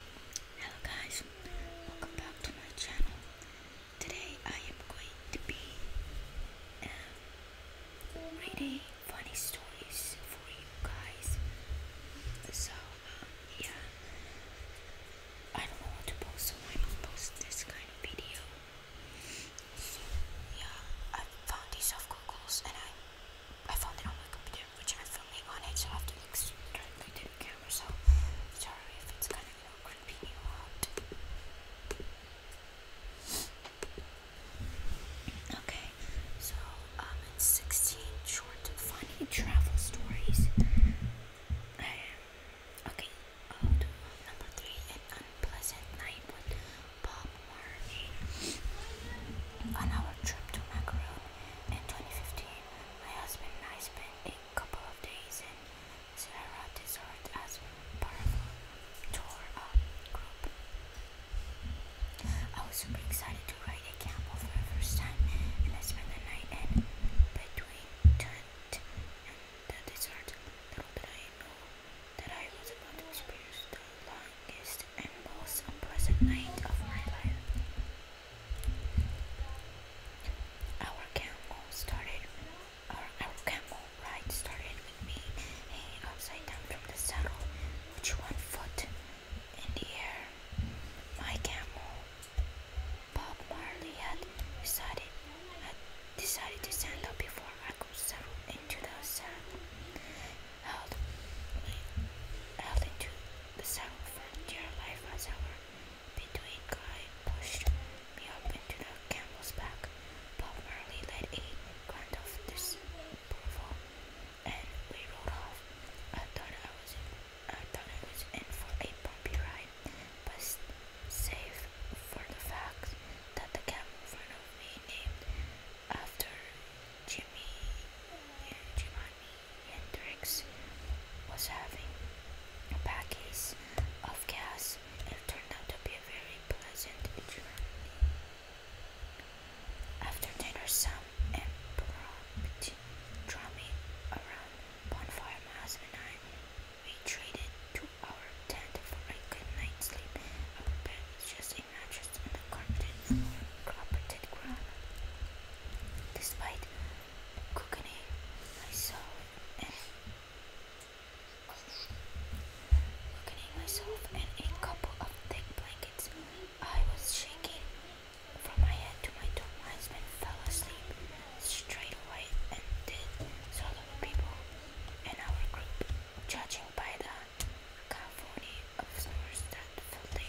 Hello guys, welcome back to my channel. Today I am going to be um, funny stories for you guys. So um, yeah, I don't know to post, so I don't post this kind of video. So yeah, I found these off Google's and I I found it on my computer which I'm on it, so I have to look directly to the camera. So sorry if it's kind of creepy, you out. Okay, so um, 16 short funny travel stories. okay, um, number three: an unpleasant night with Bob Marley. On our trip to Macaron in 2015, my husband and I spent a couple of days in Sierra Desert as part of a um, group. I was super excited to ride a camel for the first time, and I spent the night in between tent and the desert. Little I know that I was about to experience the longest and most unpleasant night of my life. Our camel started, our camel ride started with me upside down from the saddle, with one foot in the air. My camel, Bob Marley, had decided had decided to stand up before I could settle into the saddle. Held, held into the saddle for life as our between Guy pushed me up into the camel's back. Bob Marley let a grunt of disapproval, and we rode off. I thought I was I thought I was in for a bumpy ride, but save for the fact that the camel in front of me named after Jimmy, Jimmy Hendricks was having a bad of gas. It turned out to be a very pleasant journey. After dinner, Sam and Prompt draw me around bonfire. My husband and I retreated to our tent for a good night's sleep. Our bed was just a mattress on a carpeted ground. Despite cooking myself and a couple of thick blankets. I was shaking from my head to my toe. My husband fell asleep straight away and did so the people in our group, judging by the cacophony of snores that filled the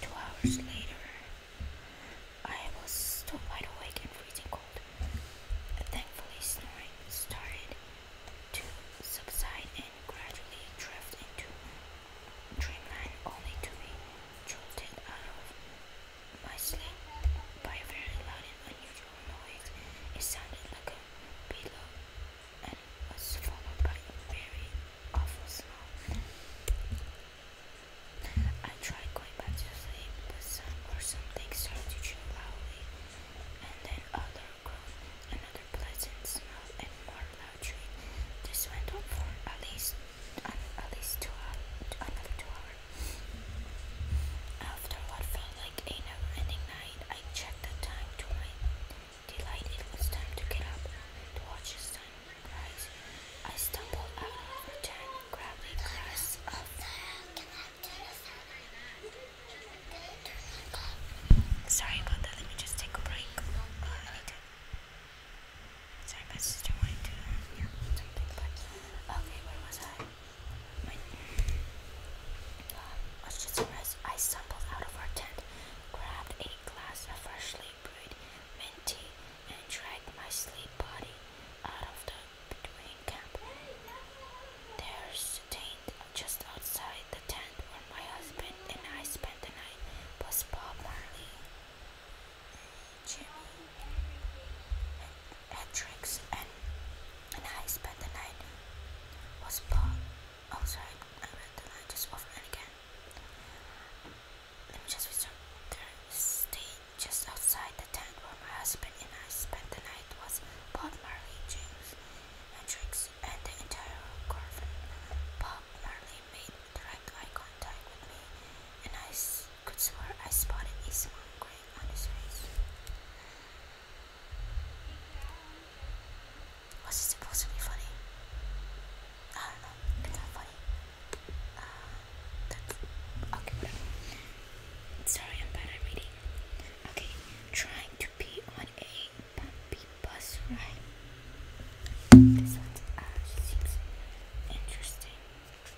Two hours later, I was still wide awake and freezing cold. Thankfully, snoring started to subside and gradually drift into dreamland, only to be jolted out of my sleep by a very loud and unusual noise. It sounded like a pillow and was followed by a very awful smell. I tried going back to sleep, but some or something started to chew loudly, and then other another pleasant smell, and more loud chewing. This went on for at least at least two hours, another two hours. After what felt like a never-ending night, I checked the time to my Delighted it was time to get up to watch the sun rise. I stumbled out of her tent, grabbed a glass of Sorry about that, let me just take a break. Oh, Sorry, my sister wanted to yeah, something, but... Okay, where was I? My... Um, let's just rest. I stumbled out of our tent, grabbed a glass of freshly brewed and dragged my sleep body out of the between camp. There stained just outside the tent where my husband and I spent the night was Bob Marley, Jimmy, and Hendrix, and, and I spent the night was Bob. Oh, sorry, I read the line just over and again. Let me just return stayed just outside the tent where my husband and I spent the night was Pop Marley, James Hendrix, and the entire caravan. Bob Marley made direct eye contact with me, and I could swear I spotted a small grin on his face. What's it supposed to be funny? I don't know. It's not funny. Uh, Sorry, I'm bad at reading. Okay, trying to be on a bumpy bus ride. This one uh, seems interesting. Okay.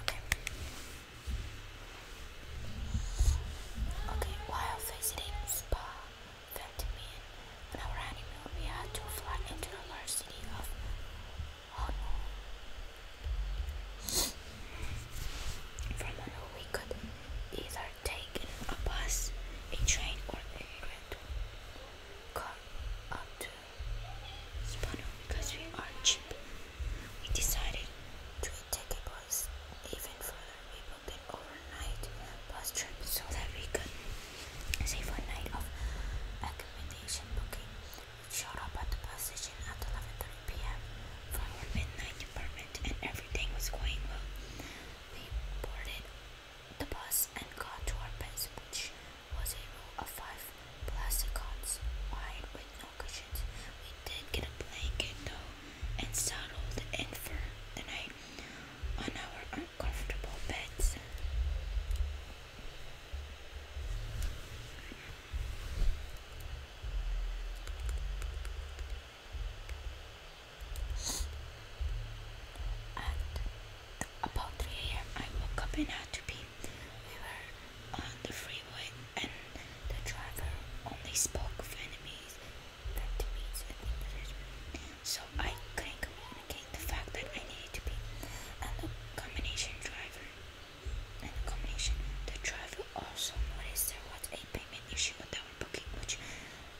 Okay. Okay, while visiting Spa, Ventimille, on our honeymoon, we had to fly into the large city of Honolulu. From Honolulu, we could either take a bus, a train, or a rental car up to because we are cheap, we decided to take a bus even further. We booked an overnight bus trip so that we could save one night of accommodation booking. We showed up at the bus station at 11:30 p.m. for our midnight department, and everything was going well. We boarded the bus and got to our beds, which was a row of five plastic wide with no cushions. We did get a blanket though, and settled in for the night on our uncomfortable beds. about 3 a.m., I woke up and had to pee. We were on the freeway and the driver only spoke Vietnamese, Vietnamese and English. So I couldn't communicate the fact that I needed to be and the combination driver and the combination the driver also noticed there was a payment issue with our booking which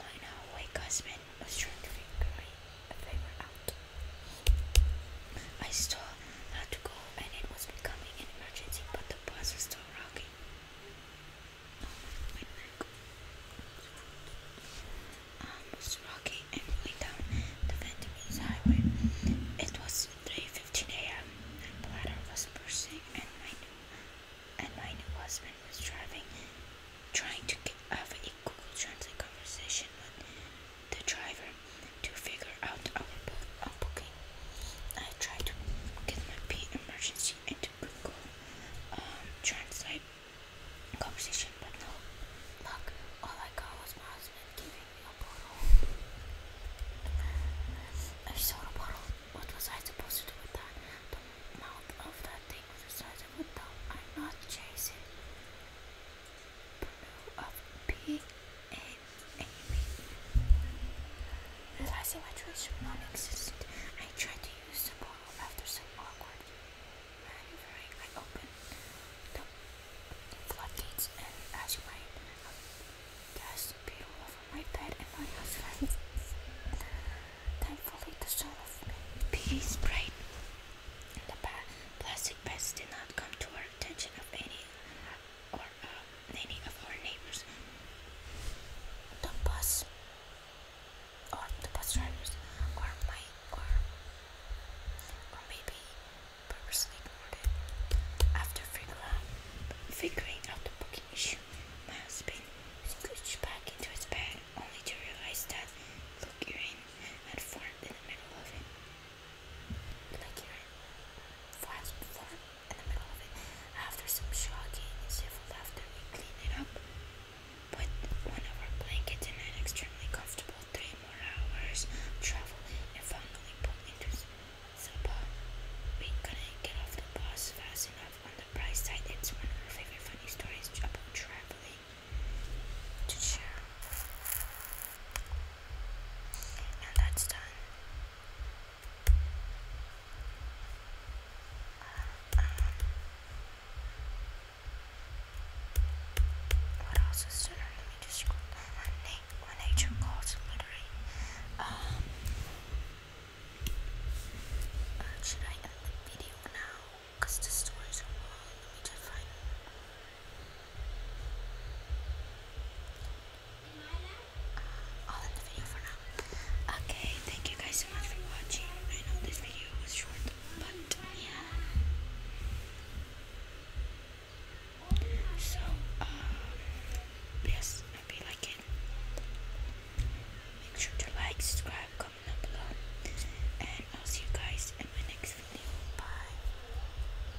my now awake husband was trying to figure, figure out. I stopped, had to go, and it was becoming an emergency, but the bus was still rocking. Oh, my um, rocking and rolling down the Vietnamese highway. It was 3:15 a.m. My bladder was bursting, and my new and my new husband was driving, trying to have a Google Translate conversation the driver to figure out our, book, I tried to get my P emergency into Google um, Translate conversation, but no luck. All I got was my husband giving me a bottle. I saw a bottle. What was I supposed to do with that? The mouth of that thing was the size of a I'm not chasing. Brew of P A anyway, realizing my choice would not exist, I tried to use the bottle after some awkward maneuvering. I opened the floodgates, and as you might have over my bed and my husband. Thankfully, the soul of peace bright. The plastic bags did not come to our attention of any or um, any of our neighbors, the bus or the bus drivers, or my or or maybe purposely ignored it. After figuring out, figuring out the booking issue, my husband scooched back into his bed, only to realize that Luke Urine had formed in the middle of it like you fast in the middle of it after some shocking civil laughter we clean it up put one of our blankets in an extremely comfortable three more hours travel and finally pulled into Sapa we couldn't get off the bus fast enough on the bright side it's one of our favorite funny stories about traveling to and that's done. Um, what else is done? Let me just scroll My, na my nature calls literally. Um, uh, should I end the video now? Because the stories are long. Let me Okay, thank you guys so much for watching. I know this video was short, but yeah. So, um, yes, hope you like it. Make sure to like, subscribe, comment down below, and I'll see you guys in my next video. Bye.